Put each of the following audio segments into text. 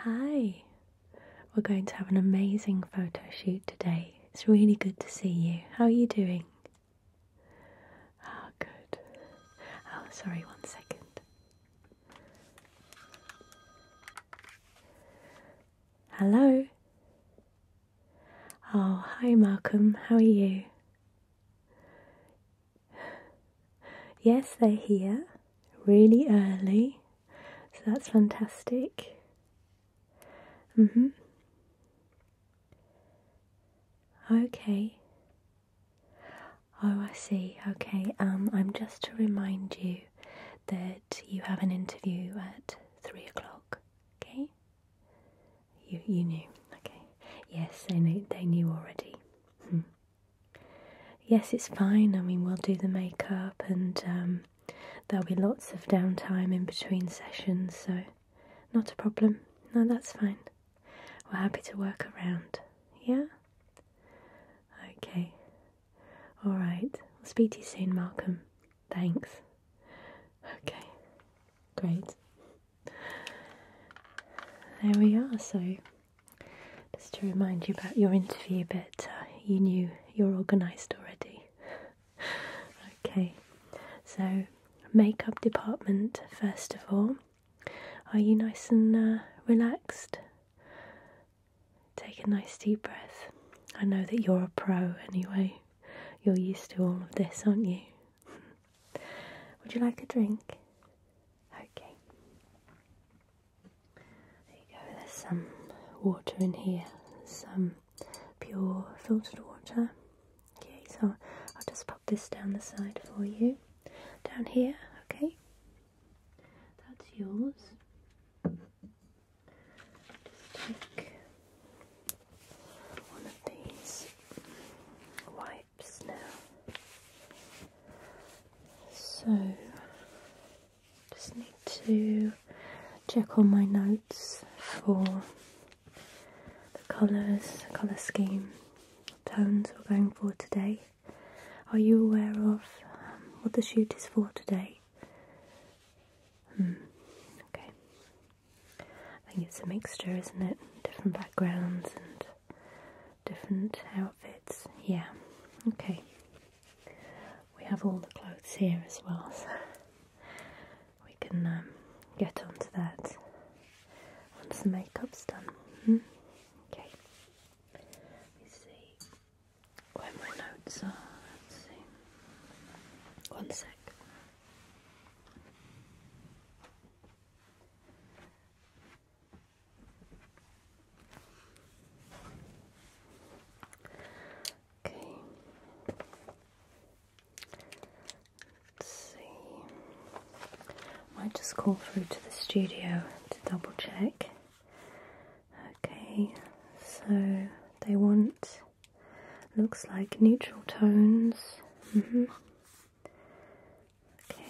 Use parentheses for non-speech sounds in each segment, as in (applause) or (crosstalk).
Hi, we're going to have an amazing photo shoot today. It's really good to see you. How are you doing? Oh, good. Oh, sorry, one second. Hello. Oh, hi, Malcolm. How are you? yes, they're here really early, so that's fantastic. Mm-hmm. okay. Oh, I see. Okay. Um, I'm just to remind you that you have an interview at three o'clock. Okay. You you knew. Okay. Yes, they knew. They knew already. Hmm. Yes, it's fine. I mean, we'll do the makeup and um, there'll be lots of downtime in between sessions, so not a problem. No, that's fine. We're happy to work around. Yeah? Okay. Alright. right. will speak to you soon, Malcolm. Thanks. Okay. Great. There we are. So. Just to remind you about your interview, but uh, you knew you're organised already. (laughs) okay, so makeup department first of all. Are you nice and uh, relaxed? Take a nice deep breath. I know that you're a pro anyway. You're used to all of this, aren't you? (laughs) Would you like a drink? Okay. There you go, there's some water in here, some pure filtered water. Okay, so I'll just pop this down the side for you. Down here, okay? That's yours. Just take one of these wipes now. So, just need to check on my notes for the colours, colour scheme, tones we're going for today. Are you aware of um, what the shoot is for today? Hmm. Okay. I think it's a mixture, isn't it? Different backgrounds and different outfits. Yeah, okay. We have all the clothes here as well, (laughs) so we can um, get onto that once the makeup's done. Hmm? Okay, let me see where my notes are. One sec. Okay. Let's see. Might just call through to the studio to double check. Okay, so they want looks like neutral tones. -hmm.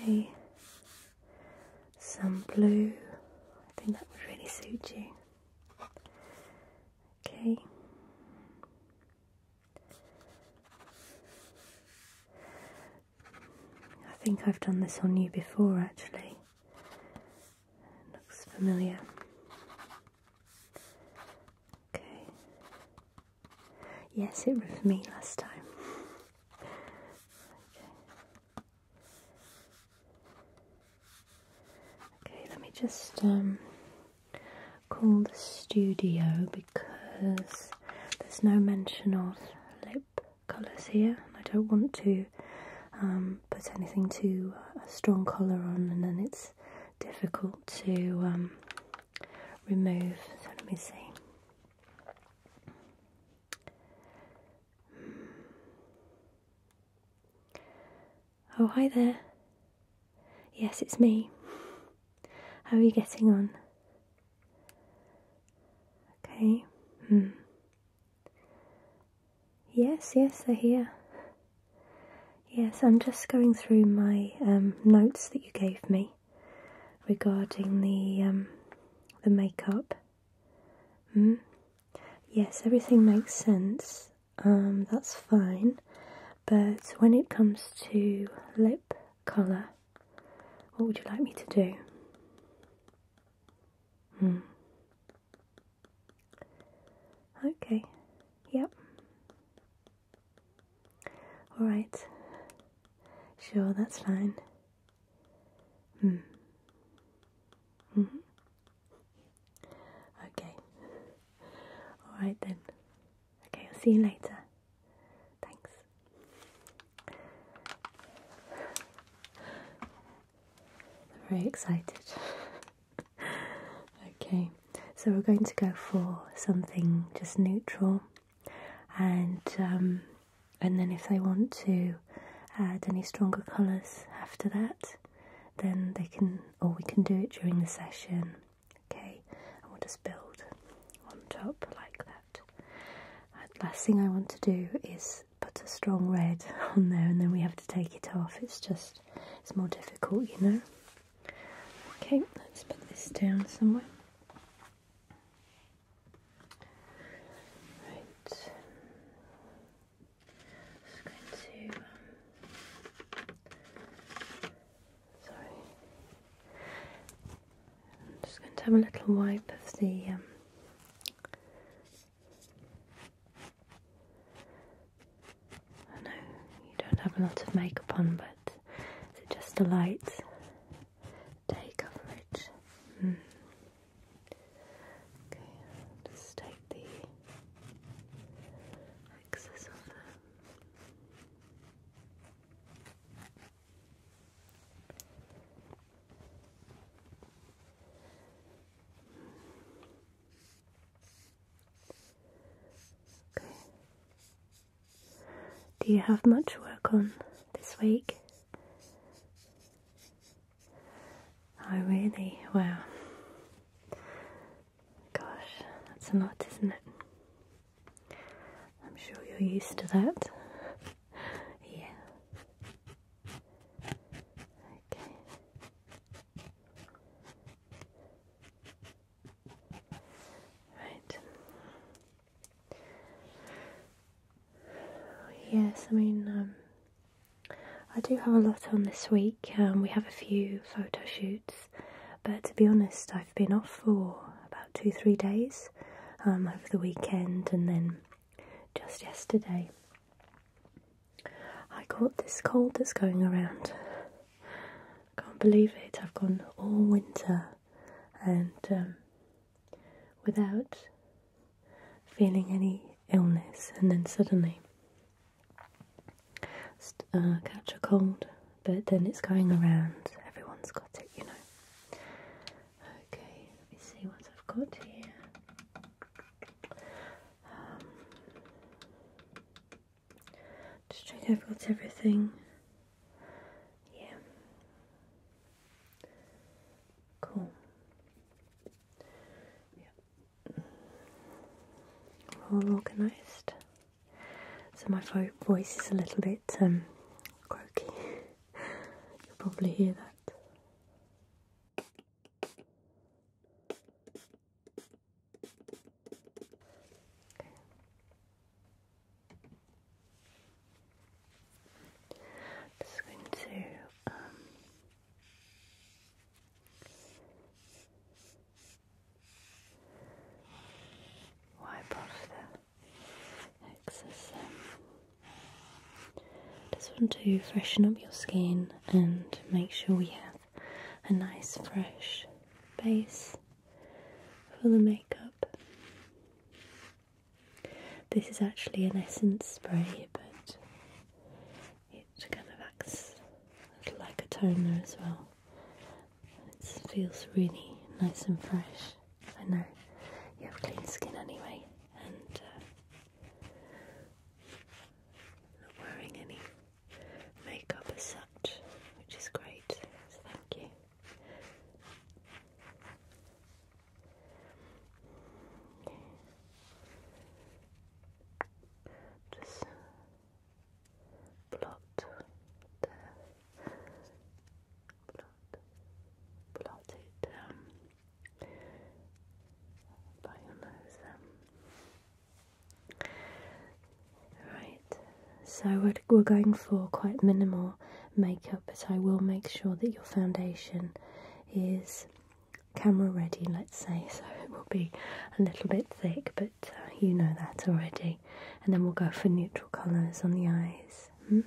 Okay, some blue. I think that would really suit you. Okay. I think I've done this on you before actually. looks familiar. Okay. Yes, it was me last time. Okay. Okay, let me just um, call the studio because there's no mention of lip colours here, and I don't want to um, put anything too uh, strong colour on, and then it's difficult to um, remove. So let me see. Oh, hi there. Yes, it's me. How are you getting on? Okay. Hmm. Yes, yes, I hear. Yes, I'm just going through my um, notes that you gave me regarding the um, the makeup. Mm? Yes, everything makes sense. Um, that's fine. But when it comes to lip colour, what would you like me to do? Hmm. Okay. Yep. Alright. Sure, that's fine. -hmm. Mm-hmm. Okay. All right then. Okay, I'll see you later. Thanks. I'm very excited. (laughs) okay, so we're going to go for something just neutral and um, and then if they want to add any stronger colours after that, then they can, or we can do it during the session. Okay, and we'll just build on top like that. Uh, last thing I want to do is put a strong red (laughs) on there, and then we have to take it off. It's just it's more difficult, you know. Okay, let's put this down somewhere. Right. Just going to. Um, sorry. I'm just going to have a little wipe of the. Um, I know you don't have a lot of makeup on, but it's just a light day coverage? Hmm. Okay, just take the excess of Okay. Do you have much work on this week? Oh, really? Wow. Gosh, that's a lot, isn't it? I'm sure you're used to that. yeah. Okay. Right. Yes, I mean, um, I do have a lot on this week. Um, we have a few photo shoots, but to be honest, I've been off for about two, three days um, over the weekend and then just yesterday. I caught this cold that's going around. I can't believe it. I've gone all winter and without feeling any illness, and then suddenly uh, catch a cold, but then it's going around, everyone's got it, you know. Okay, let me see what I've got here. Um, just check I've got everything. Yeah. Cool. Yeah. All mm. organised. So my voice is a little bit um, croaky. (laughs) You'll probably hear that. Just going to um, wipe off the excess. Um, just want to freshen up your skin and make sure we have a nice fresh base for the makeup. This is actually an essence spray, but it kind of acts like a toner as well. It feels really nice and fresh. I know you have clean skin anyway, and uh, not wearing any makeup as such, which is great. So thank you. Just blot Blot. Blot it um, by your nose Right, so we're, we're going for quite minimal makeup, but I will make sure that your foundation is camera ready, let's say, so it will be a little bit thick, but uh, you know that already. And then we'll go for neutral colours on the eyes. Hmm?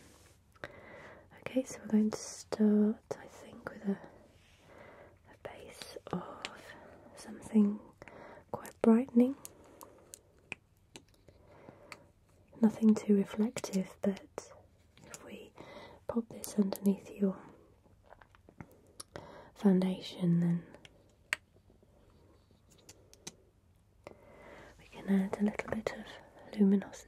Okay, so we're going to start, I think, with a base of something quite brightening nothing too reflective, but if we pop this underneath your foundation, then we can add a little bit of luminosity.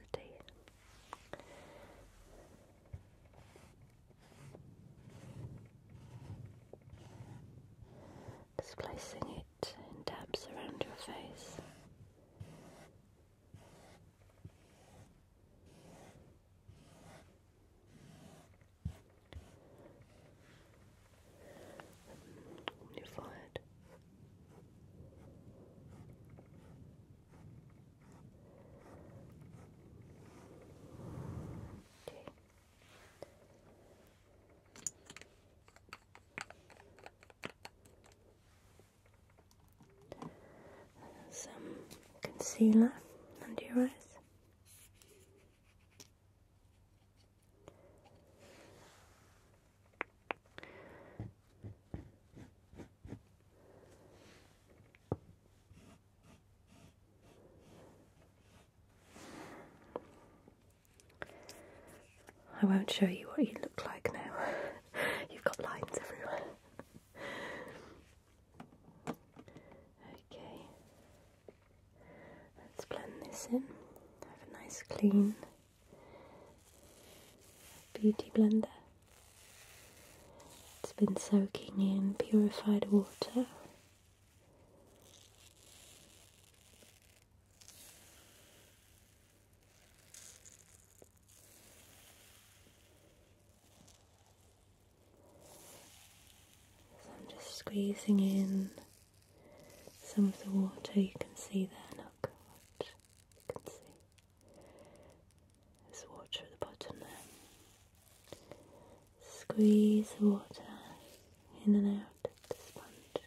Just placing it in dabs around your face. Your forehead. Okay some concealer under your eyes. I won't show you what you look like now. (laughs) You've got lines everywhere. Okay, let's blend this in. Have a nice clean beauty blender. It's been soaking in purified water. I'm just squeezing in some of the water you can see there. Look, watch. you can see. There's water at the bottom there. Squeeze the water in and out of the sponge.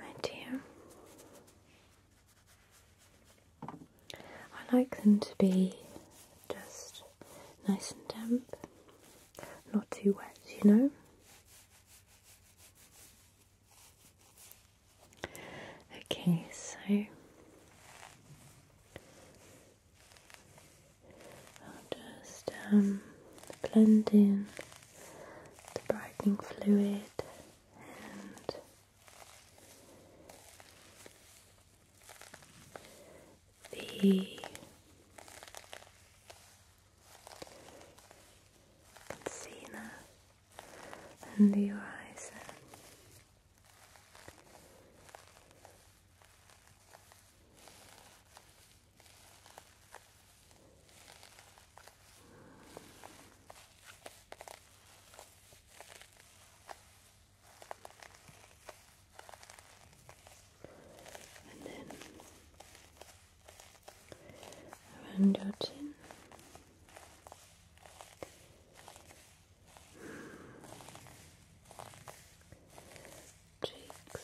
Right here. I like them to be just nice and damp, not too wet, you know. Okay, so I'll just um, blend in the brightening fluid and the Encina and the horizon and then around your chin. Cheeks.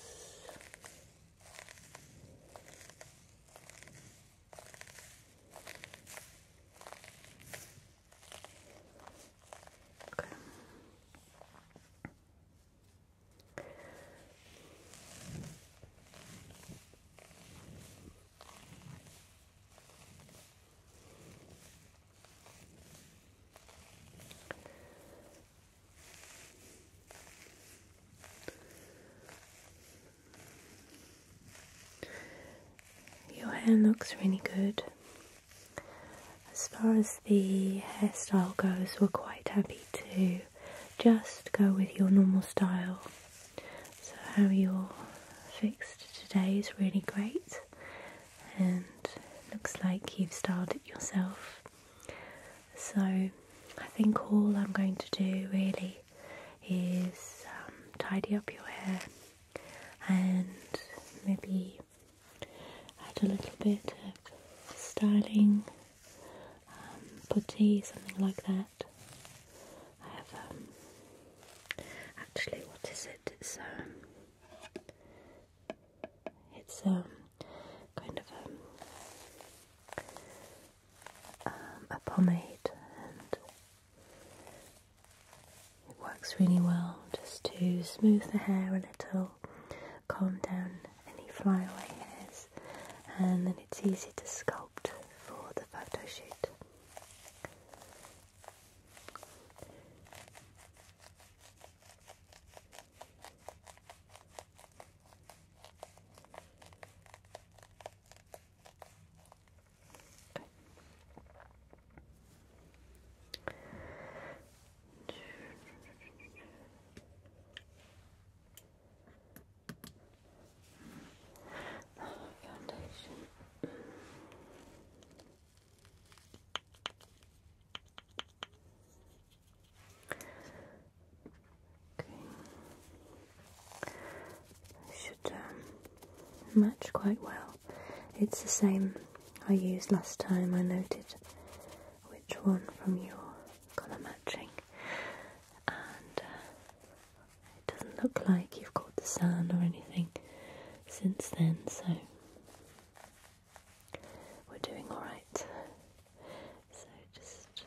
Your hair looks really good. As far as the hairstyle goes, we're quite happy to just go with your normal style. So, how you're fixed today is really great and looks like you've styled it yourself. So, I think all I'm going to do really is um, tidy up your hair and maybe tea. Add a little bit of styling, um, putty, something like that. I have, um, actually, what is it? It's, um, it's, um, kind of, um, um, a pomade and it works really well just to smooth the hair a little calm down any flyaway hairs and then it's easy to sculpt for the photo shoot foundation. Okay. should um, match quite well. It's the same I used last time I noted which one from your colour matching and uh, it doesn't look like you've caught the sun or anything since then so we're doing alright so just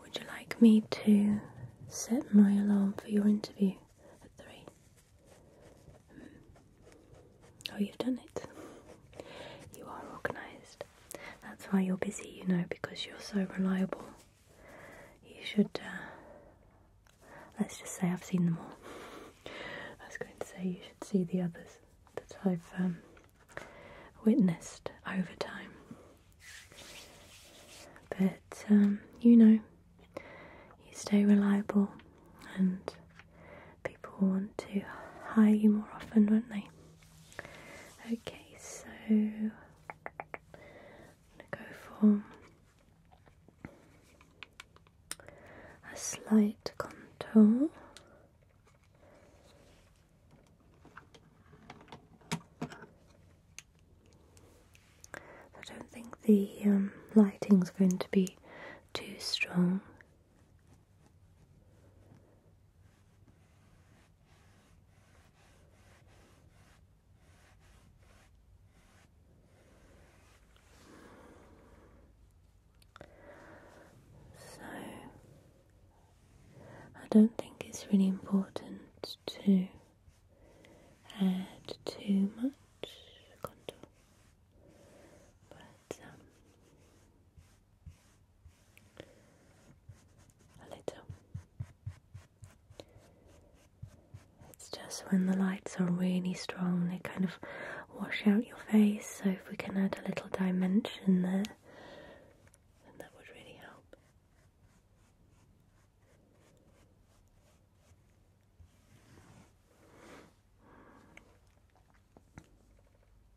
Would you like me to set my alarm for your interview at three? Hmm. Oh, you've done it. You are organised. That's why you're busy, you know, because you're so reliable. You should, uh, let's just say I've seen them all. I was going to say you should see the others that I've um, witnessed over time. But um, you know, you stay reliable and people want to hire you more often, won't they? Okay, so I'm gonna go for a slight contour. I don't think the um, lighting is going to be too strong. So, I don't think it's really important to add too much contour, but um, a little. It's just when the lights are really strong, they kind of wash out your face. So, if we can add a little dimension there, then that would really help.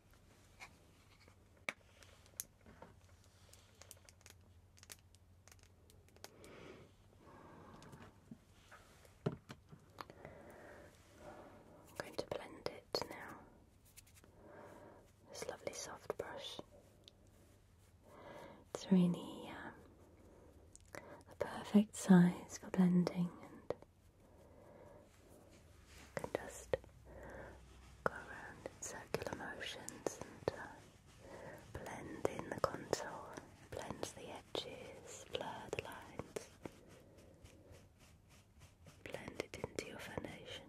I'm going to blend it now. This lovely soft brush. It's really the um, perfect size for blending and you can just go around in circular motions and uh, blend in the contour, blend the edges, blur the lines, blend it into your foundation.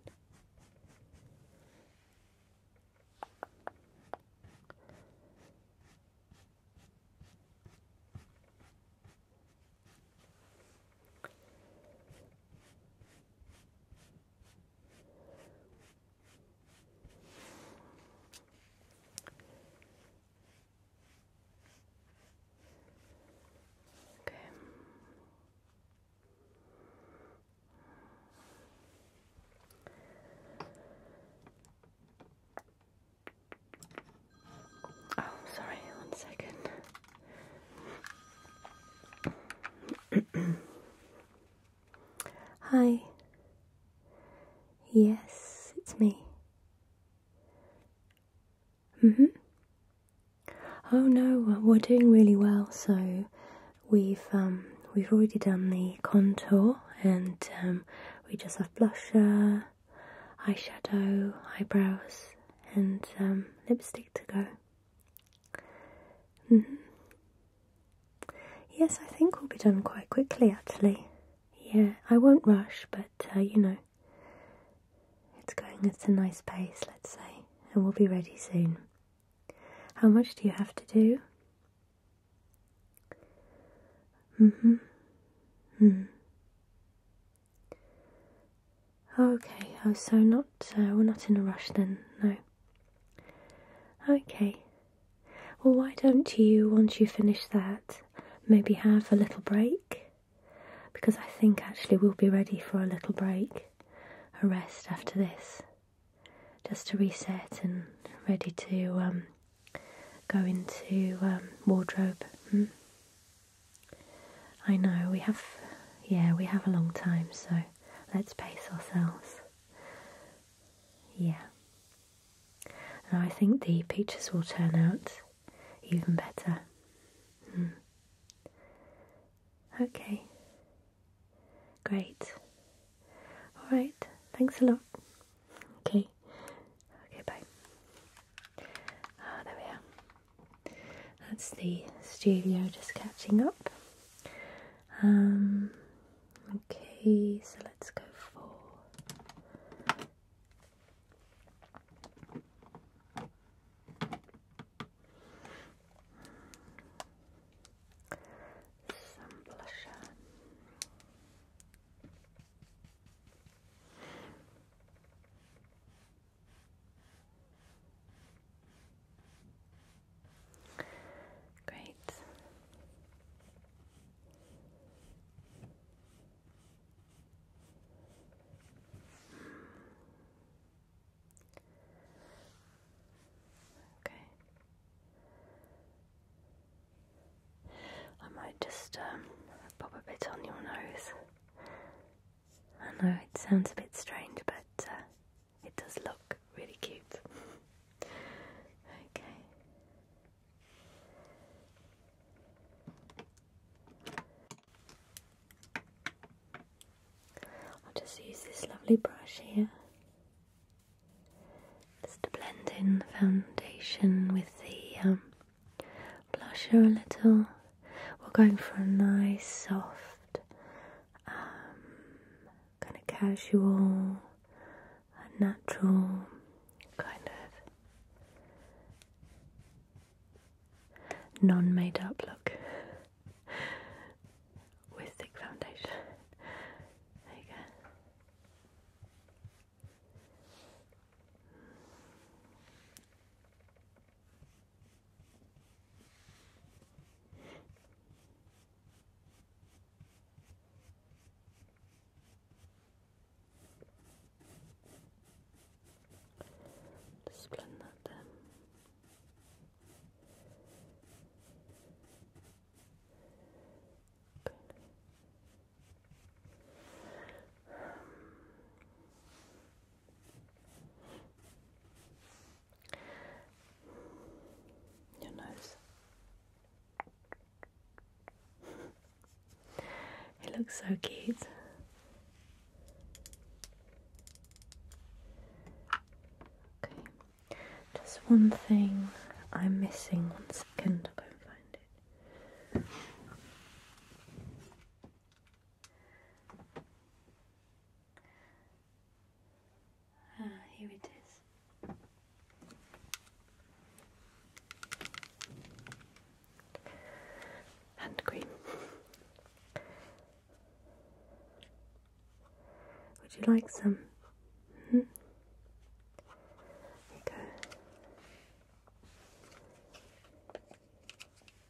Okay. Oh, sorry, one second. (clears throat) Hi. Yes, it's me. Mm hmm. Oh no, we're doing really well. So we've um, we've already done the contour, and um, we just have blusher, eyeshadow, eyebrows, and um, lipstick to go. Mm-hmm. Yes, I think we'll be done quite quickly actually. Yeah, I won't rush, but uh, you know, it's going at a nice pace, let's say, and we'll be ready soon. How much do you have to do? hmm. Oh, okay. Oh, so not uh, we're not in a rush then, no. Okay. Well, why don't you, once you finish that, maybe have a little break? Because I think actually we'll be ready for a little break, a rest after this, just to reset and ready to um, go into um, wardrobe. Hmm? I know, we have, yeah, we have a long time, so let's pace ourselves. Yeah. I think the pictures will turn out even better. Hmm. Okay. Great. Alright, thanks a lot. Okay. Okay, bye. Ah, there we are. That's the studio just catching up. Um, okay, so let's go for some blusher. Great. Okay. I might just um, pop a bit on your nose I know it sounds a bit strange, but uh, it does look really cute. okay. I'll just use this lovely brush here just to blend in the foundation with the um, blusher a little we're going for a nice, soft, um, kind of casual, natural kind of non made up look (laughs) with thick foundation. There you go. Just blend that down. Good. Your nose. it looks so cute. Okay, just one thing I'm missing. One second, I'll go and find it. Ah, here it is. Hand cream. Would you like some? Mm -hmm. Okay.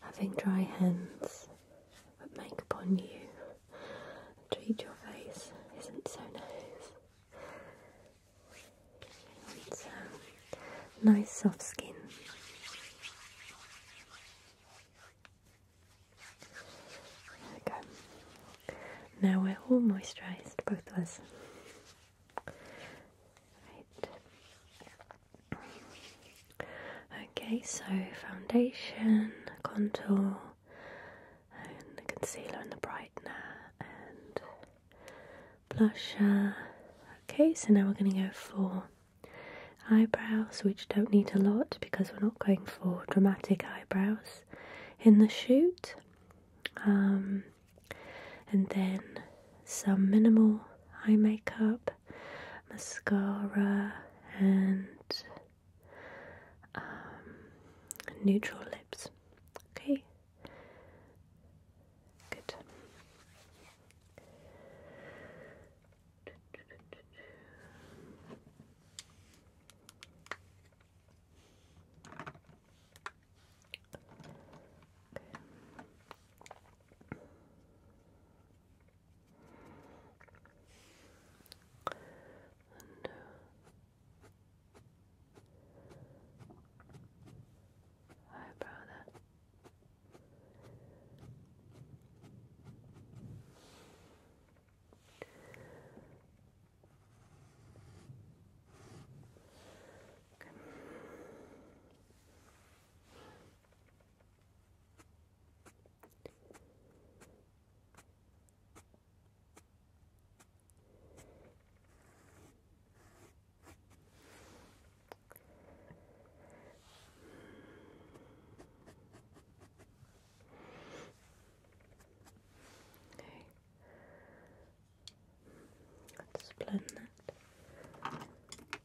having dry hands, but make upon you and treat your face isn't so nice. Um, nice soft skin. There we go. Now we're all moisturised, both of us. Right. Okay, so foundation, contour, and the concealer and the brightener, and blusher. Okay, so now we're going to go for eyebrows, which don't need a lot because we're not going for dramatic eyebrows in the shoot. Um, and then some minimal eye makeup mascara and um, neutral lips. Okay, good. Okay. And, uh, Hi, brother. Okay. Let's blend that.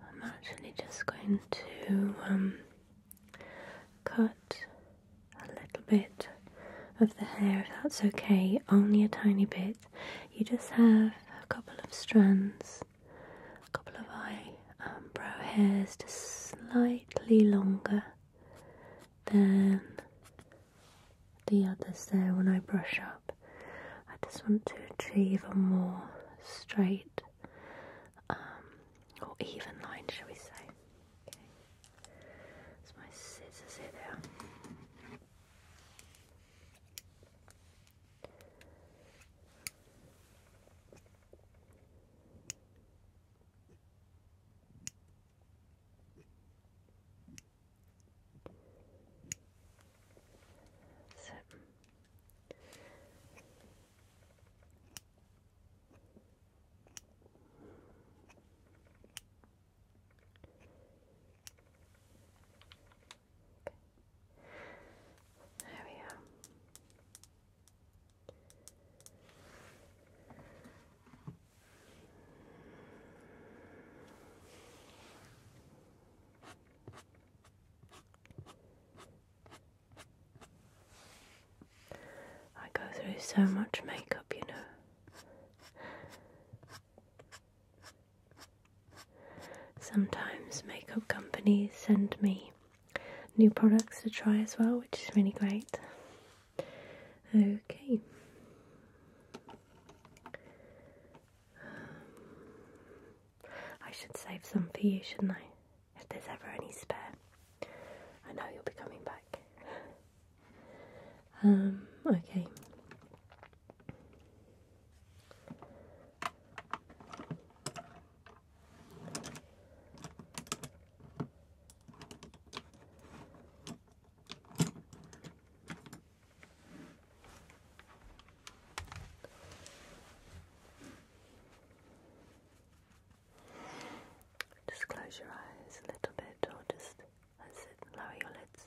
I'm actually just going to um, cut a little bit of the hair, if that's okay, only a tiny bit. You just have a couple of strands, a couple of and um, brow hairs, just slightly longer than the others there when I brush up. I just want to achieve a more straight um, or even line, shall we say? Okay. It's my scissors here. There. So Okay. There we are. I go through so much makeup, you know. Sometimes makeup companies send me new products to try as well, which is really great. Okay. Um, I should save some for you, shouldn't I? If there's ever any spare. I know you'll be coming back. um, okay. Just close your eyes a little bit, or just that's it, lower your lids.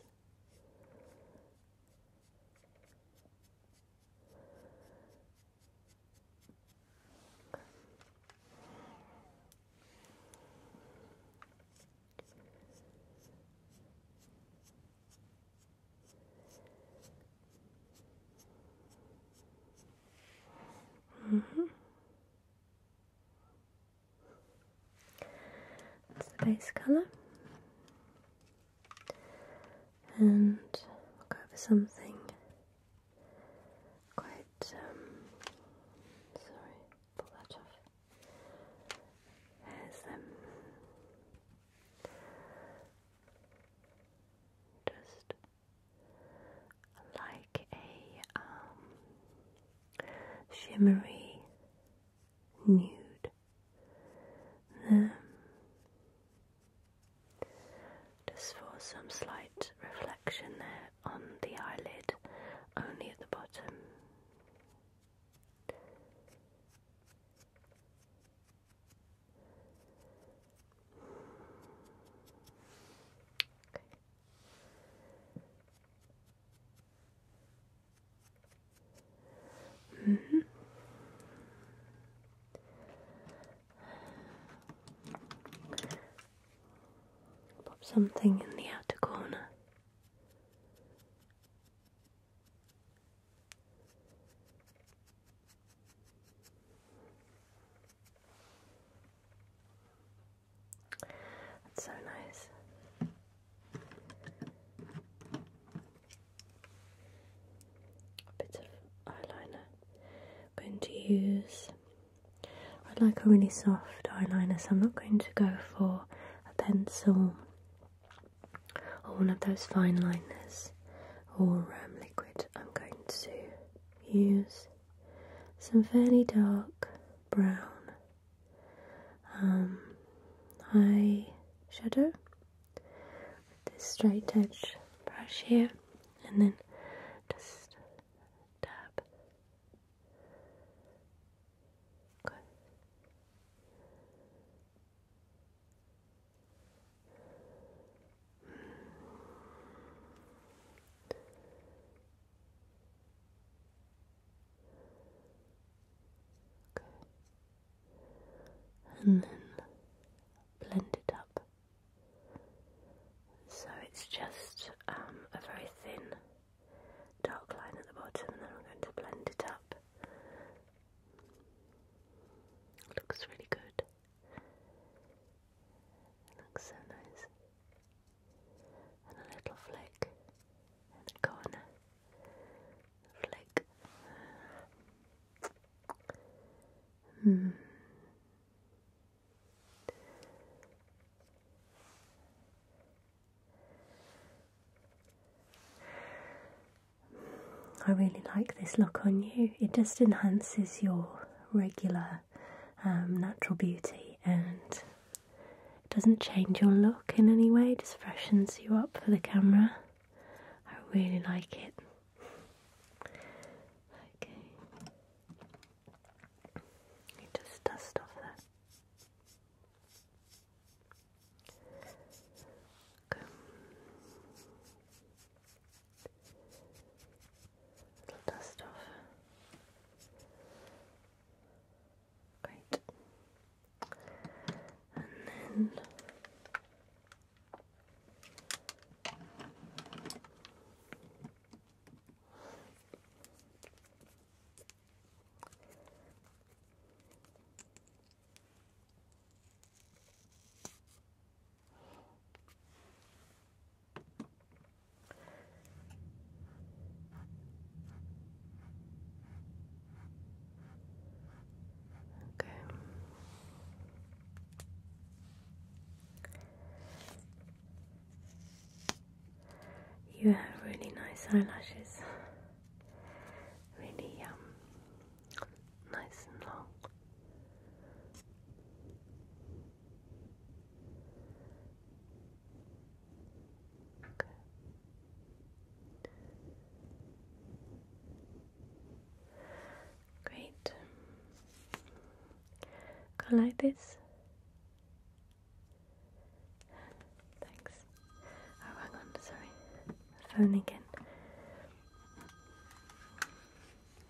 Mm -hmm. That's the base colour. And i something quite, um, sorry, pull that off just like a um, shimmery nude. Um, just for some slight reflection there on the eyelid, only at the bottom. Okay. Mm Pop something in the outer corner. That's so nice. A bit of eyeliner. I'm going to use. I like a really soft eyeliner, so I'm not going to go for a pencil or one of those fine liners or um, liquid, I'm going to use some fairly dark brown um, eye shadow with this straight edge brush here and then just dab. Okay. And then blend it up. So it's just um, a very thin dark line at the bottom, and then I'm going to blend it up Looks really good. Looks so nice. And a little flick in the corner. Flick. Hmm. I really like this look on you. It just enhances your regular um, natural beauty and it doesn't change your look in any way, it just freshens you up for the camera. I really like it. Okay. just dust off that. Okay. Little dust off. Great. And then Okay. You have really nice eyelashes. Really um nice and long. Great. Go like this. Thanks. Oh, hang on, sorry. Phone again.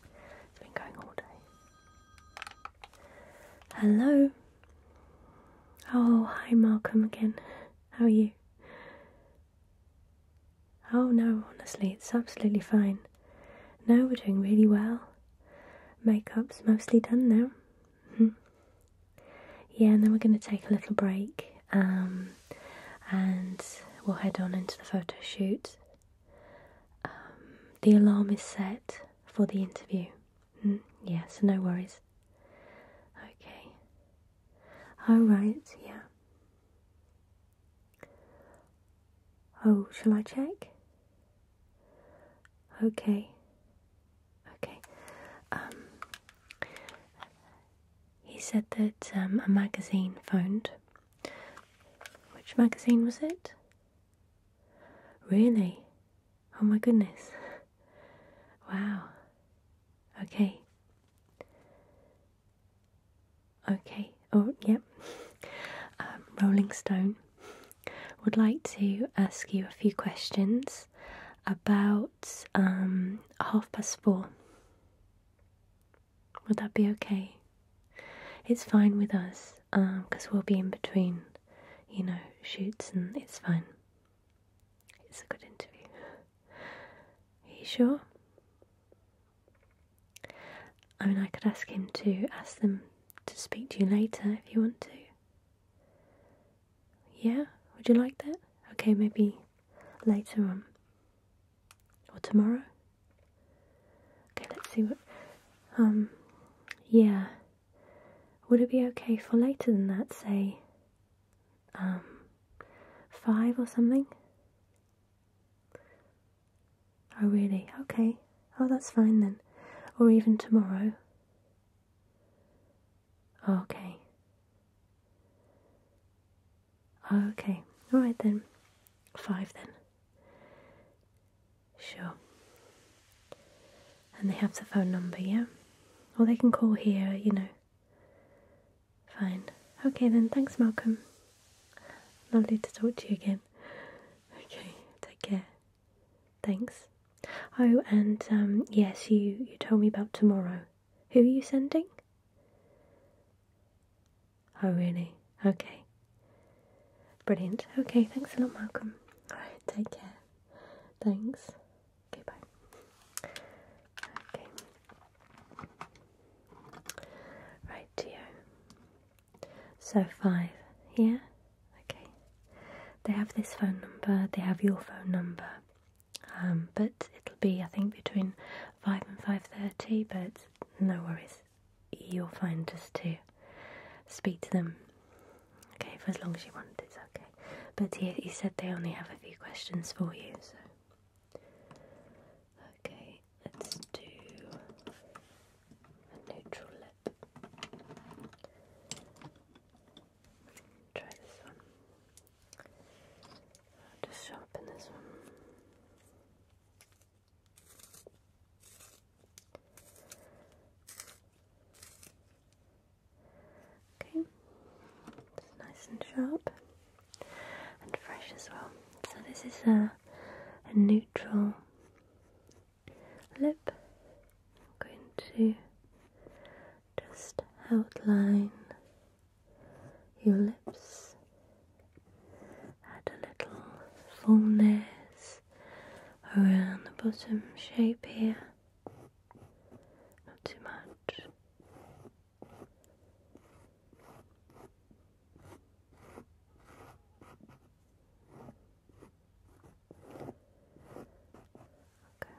It's been going all day. Hello. Oh, hi, Malcolm again. How are you? Oh, no, honestly, it's absolutely fine. No, we're doing really well. Makeup's mostly done now. Hmm. yeah, and then we're going to take a little break. Um, and we'll head on into the photo shoot. Um, the alarm is set for the interview. Mm, yeah, so no worries. Okay. Alright, yeah. Oh, shall I check? Okay. Okay. Um, he said that um, a magazine phoned. Which magazine was it? Really? Oh my goodness. Wow. Okay. Okay. Oh, yep. (laughs) Um, Rolling Stone would like to ask you a few questions about um, half past four. Would that be okay? It's fine with us because um, we'll be in between, you know, shoots and it's fine. It's a good interview. Are you sure? I mean, I could ask him to ask them to speak to you later if you want to. Yeah? Would you like that? Okay, maybe later on or tomorrow. Okay, let's see what. Um, yeah. Would it be okay for later than that, say, um, five or something? Oh, really? Okay. Oh, that's fine then. Or even tomorrow. Okay. Oh, okay, alright then. Five then. Sure. And they have the phone number, yeah? Or they can call here, you know. Fine. Okay then, thanks Malcolm. Lovely to talk to you again. Okay, take care. Thanks. Oh, and um, yes, you, you told me about tomorrow. Who are you sending? Oh, really? Okay. Brilliant. Okay, thanks a lot, Malcolm. Alright, take care. Thanks. Okay, bye. Okay. Right, Geo. So, five, here. Okay. They have this phone number, they have your phone number. Um, but it'll be, I think, between five and five thirty. But no worries, you'll find us to speak to them. Okay, for as long as you want, it's okay. But he, he said they only have a few questions for you, so. Okay, let's do a neutral lip. Try this one just sharpen this one. Okay, it's nice and sharp and fresh as well. So this is a, a neutral lip. I'm going to just outline your lips, had a little fullness around the bottom shape here. Not too much. Okay.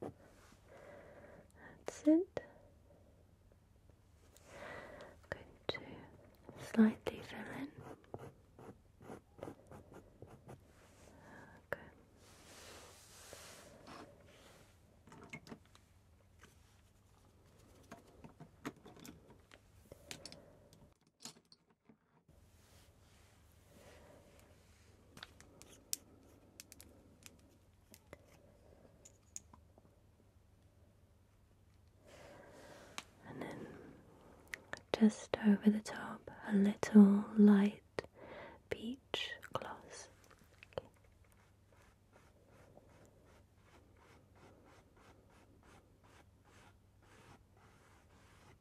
That's it. going to slightly fill in. Okay. And then just over the top, a little light peach gloss.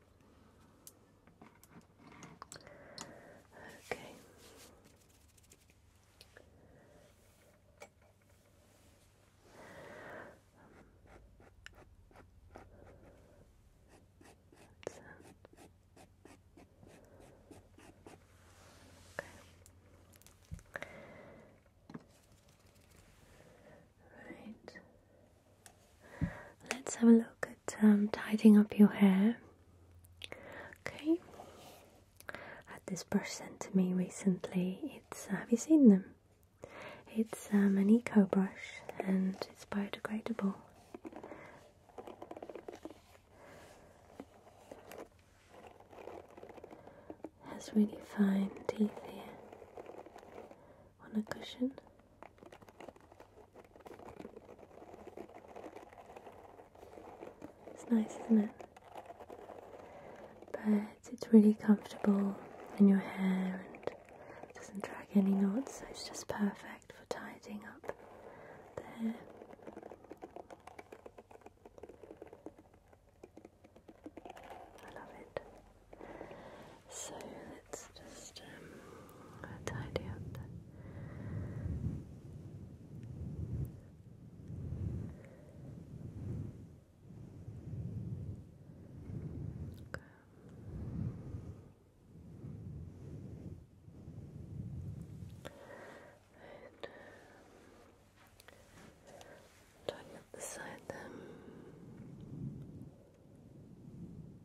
Okay. That's Right. Let's have a look at um, tidying up your hair. Okay, I had this brush sent to me recently. It's uh, have you seen them? It's um, an eco brush and it's biodegradable. It has really fine teeth here on a cushion. It's nice, isn't it? But it's really comfortable in your hair and doesn't drag any knots, so it's just perfect for tidying up the I love it. So let's just um, tidy up okay. Tidy up the side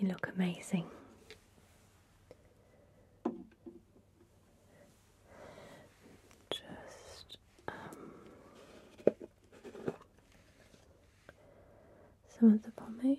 You look amazing. Just um, some of the pomade.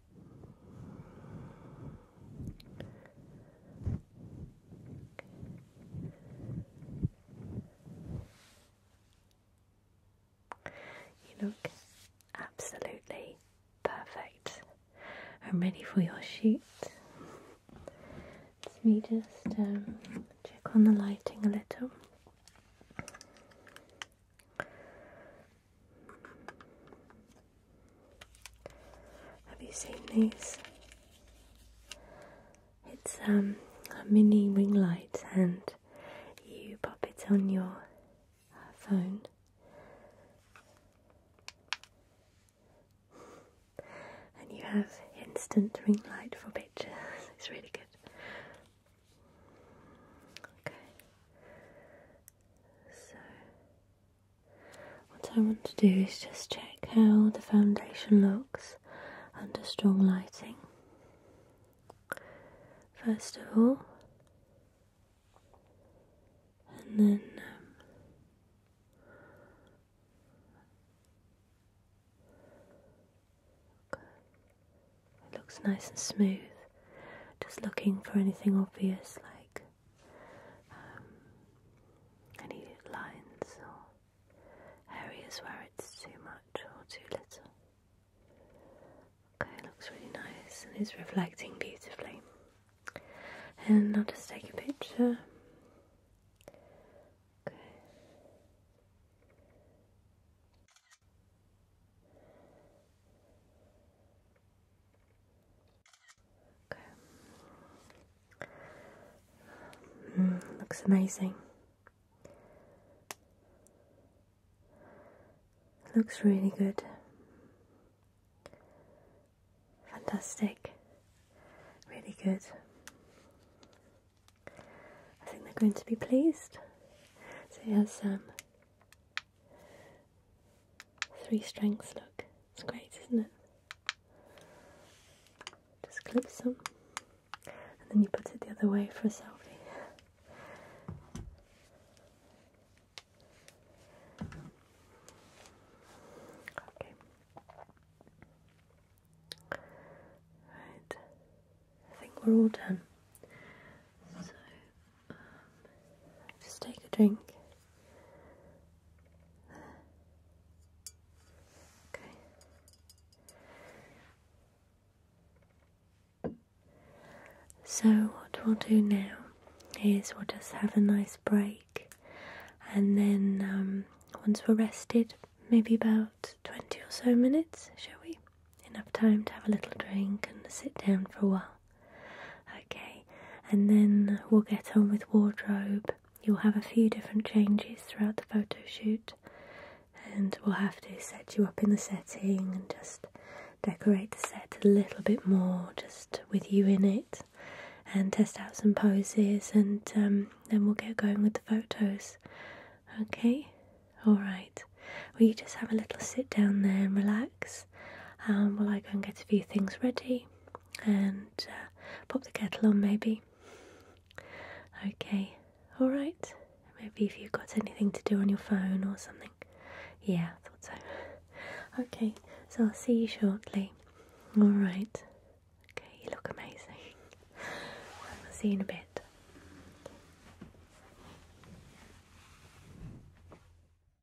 You look absolutely perfect. I'm ready for your shoot. Let us me just um, check on the lighting a little. Have you seen these? It's um, a mini ring light, and you pop it on your phone. And you have instant ring light for pictures. It's really good. Okay. So what I want to do is just check how the foundation looks under strong lighting. First of all, and then um, it looks nice and smooth. Just looking for anything obvious like um, any lines or areas where it's too much or too little. Okay, looks really nice and it's reflecting beautifully. And I'll just take a picture. Okay looks amazing. Looks really good. Fantastic. Really good. I think they're going to be pleased. So, yes, um, Three strengths, look. It's great, isn't it? Just clip some and then you put it the other way for a selfie. Okay. Right. I think we're all done. So just take a drink. Okay. So, what we'll do now is we'll just have a nice break, and then um, once we're rested, maybe about 20 or so minutes, shall we? Enough time to have a little drink and sit down for a while. Okay, and then we'll get on with wardrobe. You'll have a few different changes throughout the photo shoot, and we'll have to set you up in the setting and just decorate the set a little bit more, just with you in it, and test out some poses, and um, then we'll get going with the photos. Okay, all right. Well, you just have a little sit down there and relax um, while I go and get a few things ready and uh, pop the kettle on maybe. Okay, alright. Maybe if you've got anything to do on your phone or something. Yeah, I thought so. Okay, so I'll see you shortly. Alright. Okay, you look amazing. I'll see you in a bit.